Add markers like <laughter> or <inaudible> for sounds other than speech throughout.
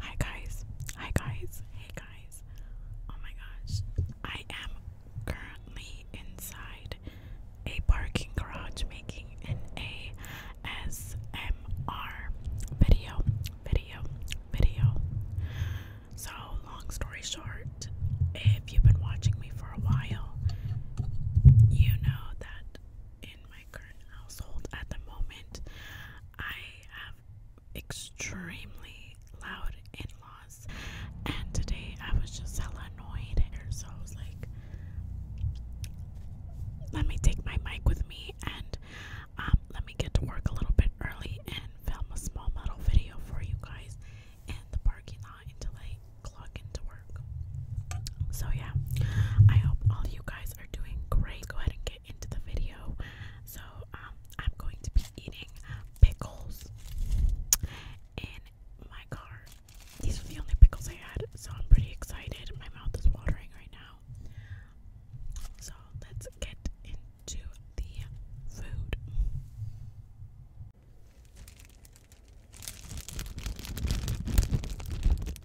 Hi guys, hi guys, hey guys. Oh my gosh, I am currently inside a parking garage making an ASMR video, video, video. So, long story short, if you've been watching me for a while, you know that in my current household at the moment. I have extremely loud in laws, and today I was just hella annoyed. So I was like, let me take my mic with me and um, let me get to work a little bit early and film a small model video for you guys in the parking lot until I clocking into work. So, yeah, I hope all you guys are doing great. Go ahead and into the video. So um, I'm going to be eating pickles in my car. These are the only pickles I had, so I'm pretty excited. My mouth is watering right now. So let's get into the food. Okay,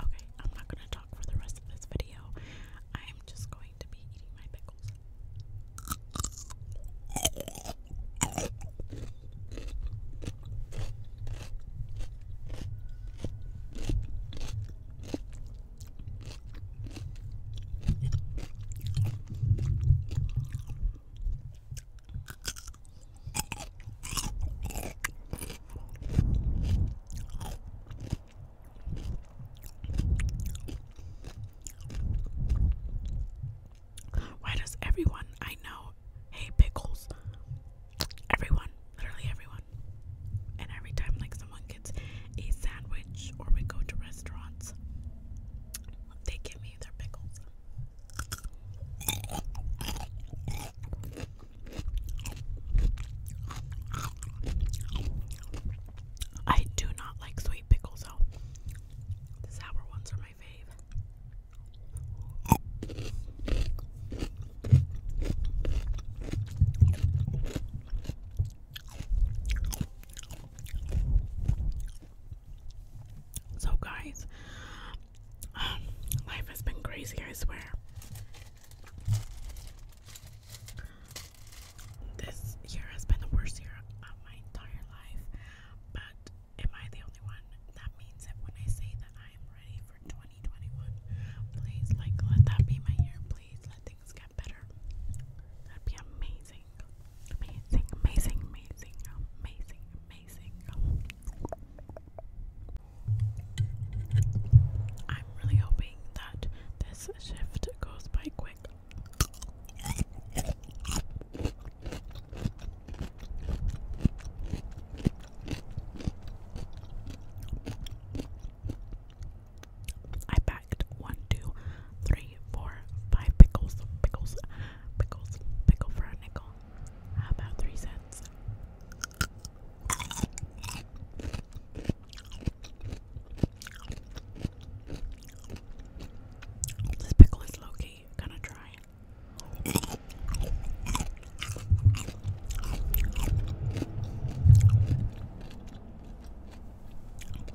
I'm not gonna talk for the rest of this video. I am just going to be eating my pickles. Why does everyone I know hate pickles? Everyone, literally everyone. And every time like someone gets a sandwich or we go to restaurants, they give me their pickles. I do not like sweet pickles though. The sour ones are my fave. So, guys, um, life has been crazy, I swear. This year has been the worst year of my entire life, but am I the only one? That means that when I say that I am ready for 2021, please, like, let that be my year. Please let things get better. That'd be amazing. Amazing, amazing, amazing, amazing, amazing. I'm really hoping that this shift goes by quick. I packed one, two, three, four, five pickles, pickles, pickles, pickle for a nickel. How about three cents? This pickle is low key, kind of dry.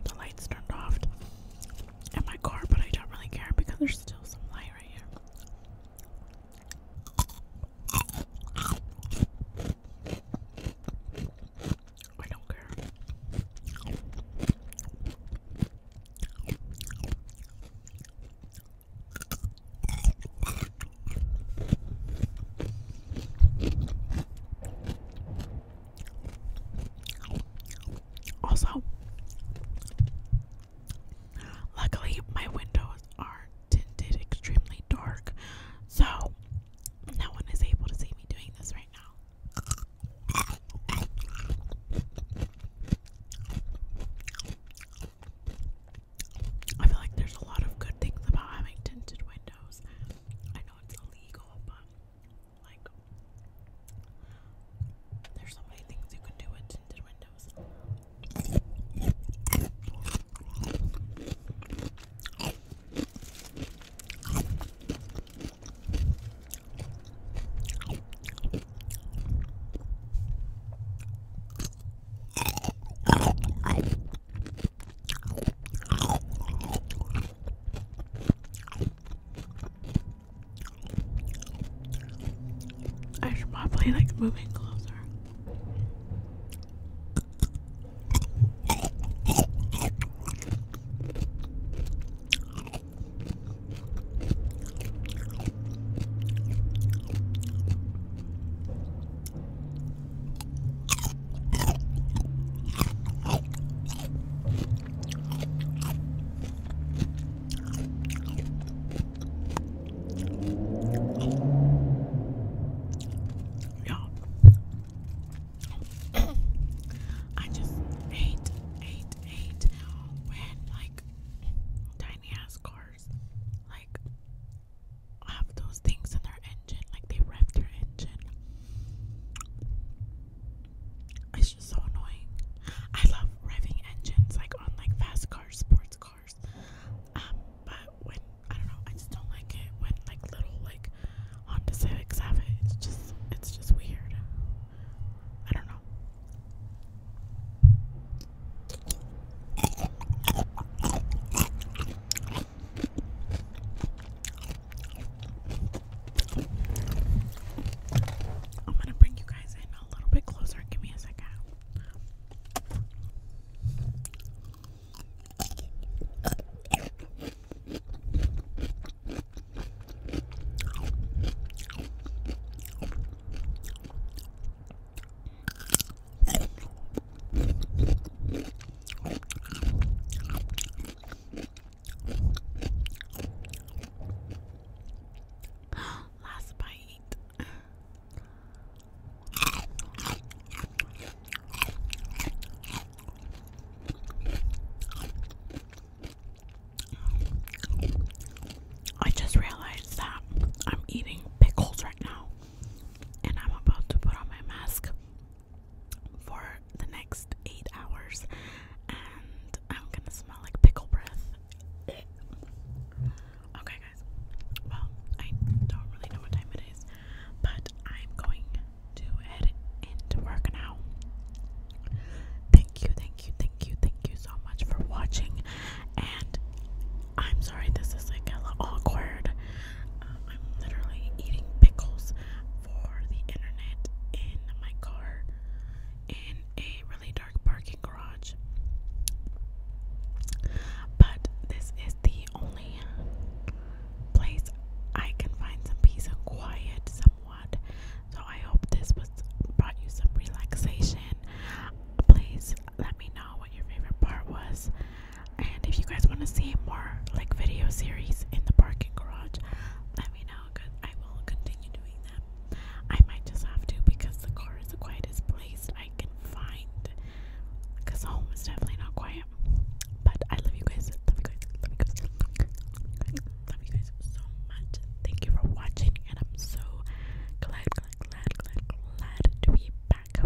The lights turned off in my car, but I don't really care because there's still some light right here. I don't care. Also, luckily my windows are tinted extremely dark, so no one is able to see me doing this right now. I feel like there's a lot of good things about having tinted windows. I know it's illegal, cool, but like there's so many things you can do with tinted windows. I should probably like move in closer. Yeah. I just hate, hate, hate when like tiny ass cars like have those things in their engine, like they rev their engine. It's just so annoying. I love revving engines, like on like fast cars, sports cars. Um, but when I don't know, I just don't like it when like little like Honda Civics have it. It's just it's just weird. I don't know. I'm gonna bring you guys in a little bit closer. Give me a second. <gasps> Last bite. I just realized that I'm eating pickles right now, and I'm about to put on my mask for the next eight hours, and I'm gonna smell like pickle breath. okay, guys. Well, I don't really know what time it is, but I'm going to head into work now. Thank you, thank you, thank you, thank you so much for watching, and I'm sorry this is like a little awkward. I'm literally eating pickles for the internet in my car in a really dark parking garage. But this is the only place I can find some peace and quiet somewhat. So I hope this brought you some relaxation. Please let me know what your favorite part was. And if you guys want to see more like video series in the parking garage, let me know because I will continue doing them. I might just have to because the car is the quietest place I can find. Because home is definitely not quiet. But I love you guys. Love you guys. Love you guys. so much. Thank you for watching, and I'm so glad, glad, glad, glad, glad to be back.